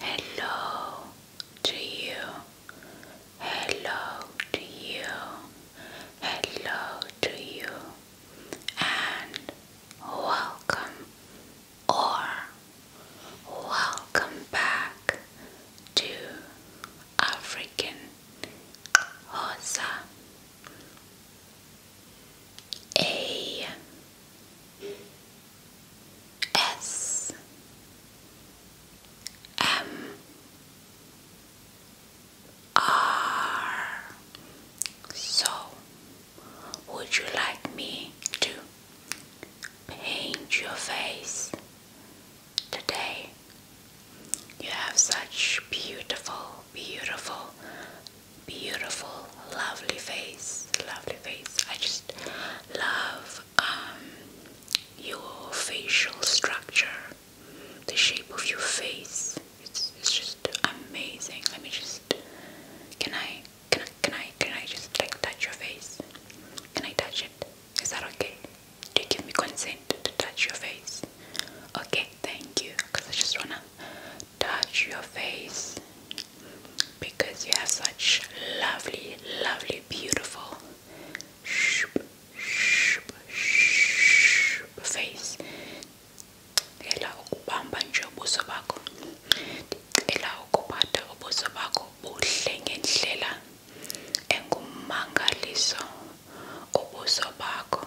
hello to you. Hello to you. Hello to you. And welcome or welcome back to African Hosa a S M R So would you like me to paint your face today? You have such beautiful, beautiful, beautiful, lovely face. Lovely face. I just love um, your facial structure, the shape of your face. It's, it's just amazing. Let me just. Can I? Can I? Can I? Can I just like touch your face? Can I touch it? Is that okay? Do you give me consent to touch your face? Okay thank you because I just wanna touch your face because you have such lovely, lovely, beautiful face. Ela ukubamba nje ubuso bakho. Ela ukuphatha ubuso bakho buhle ngendlela engumangaliso ubuso bakho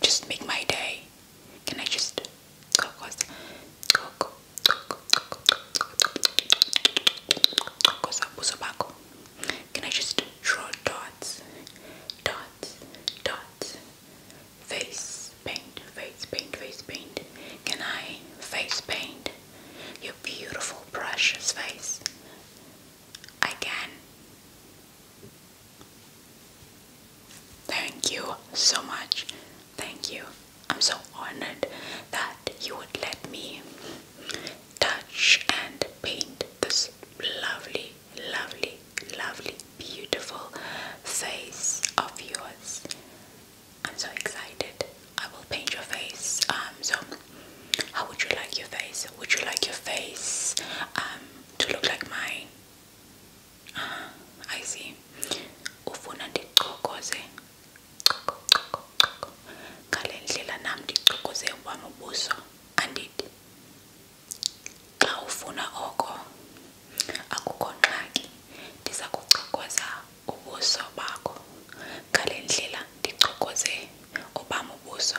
just make my day. Can I just go go Can I just draw dots? Dots, dots. Face paint, face paint, face paint. Can I face paint your beautiful, precious face? I Thank you so much. Thank you. I'm so honored that you would let me touch and paint this lovely, lovely, lovely, beautiful face of yours. I'm so excited. I will paint your face. Um, so how would you like your face? Would you like your face um, to look like mine? Ah, I see. Ufuna ndichokoze ngale ndlela nam ndichokoze wam ubuso andithi xa ufuna oko akukho ngxaki ndiza kuchokoza ubuso bakho ngale ndlela ndichokoze obam ubuso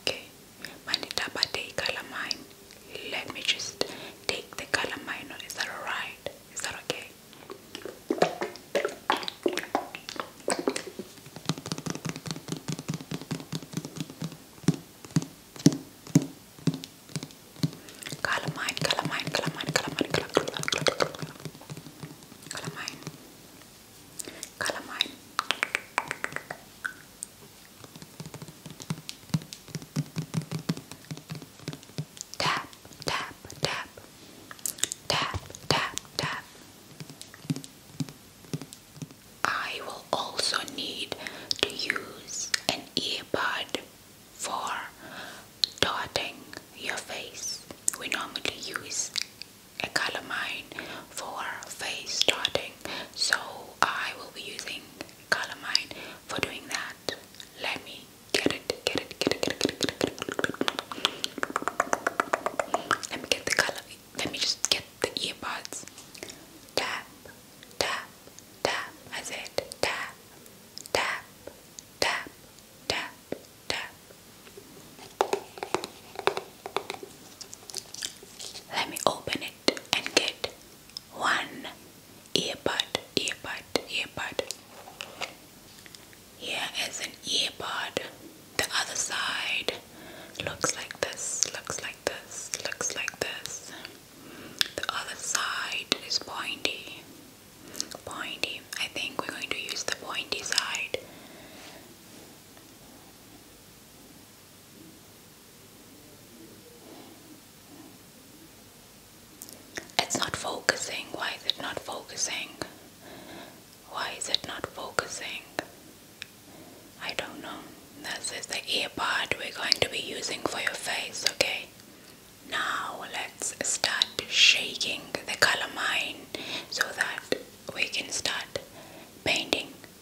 Okay, Manitaba calamine. Let me just take the calamine. Is that alright? Is that okay? Calamine, calamine, calamine, calamine, calamine, calamine, calamine. Tap, tap, tap. Tap, tap, tap. I will also need to use an earbud for dotting your face. We normally use a calamine for face dotting doing. So I will be using Calamine for doing that. Let me get it, get it, get it, get it, get it, get it. Mm, let me get the color. Let me just get the earbuds. Tap, tap, tap. I said tap, tap, tap, tap, tap. Let me open it and get one earbud, earbud, earbud. Here is an earbud. The other side looks like this, looks like this, looks like this. The other side is pointy. Pointy. I think we're going to use the pointy side. It's not focusing. Why is it not focusing? Why is it not focusing? I don't know. This is the ear part we're going to be using for your face, okay? Now let's start shaking the color mine so that we can start painting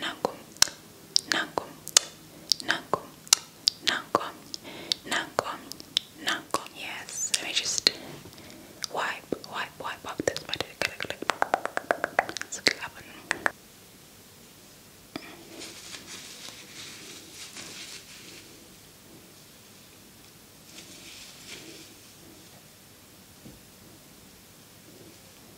Nanko, Nanko, Nanko, Nanko, Nanko, Nanko. Yes, let me just wipe, wipe, wipe up this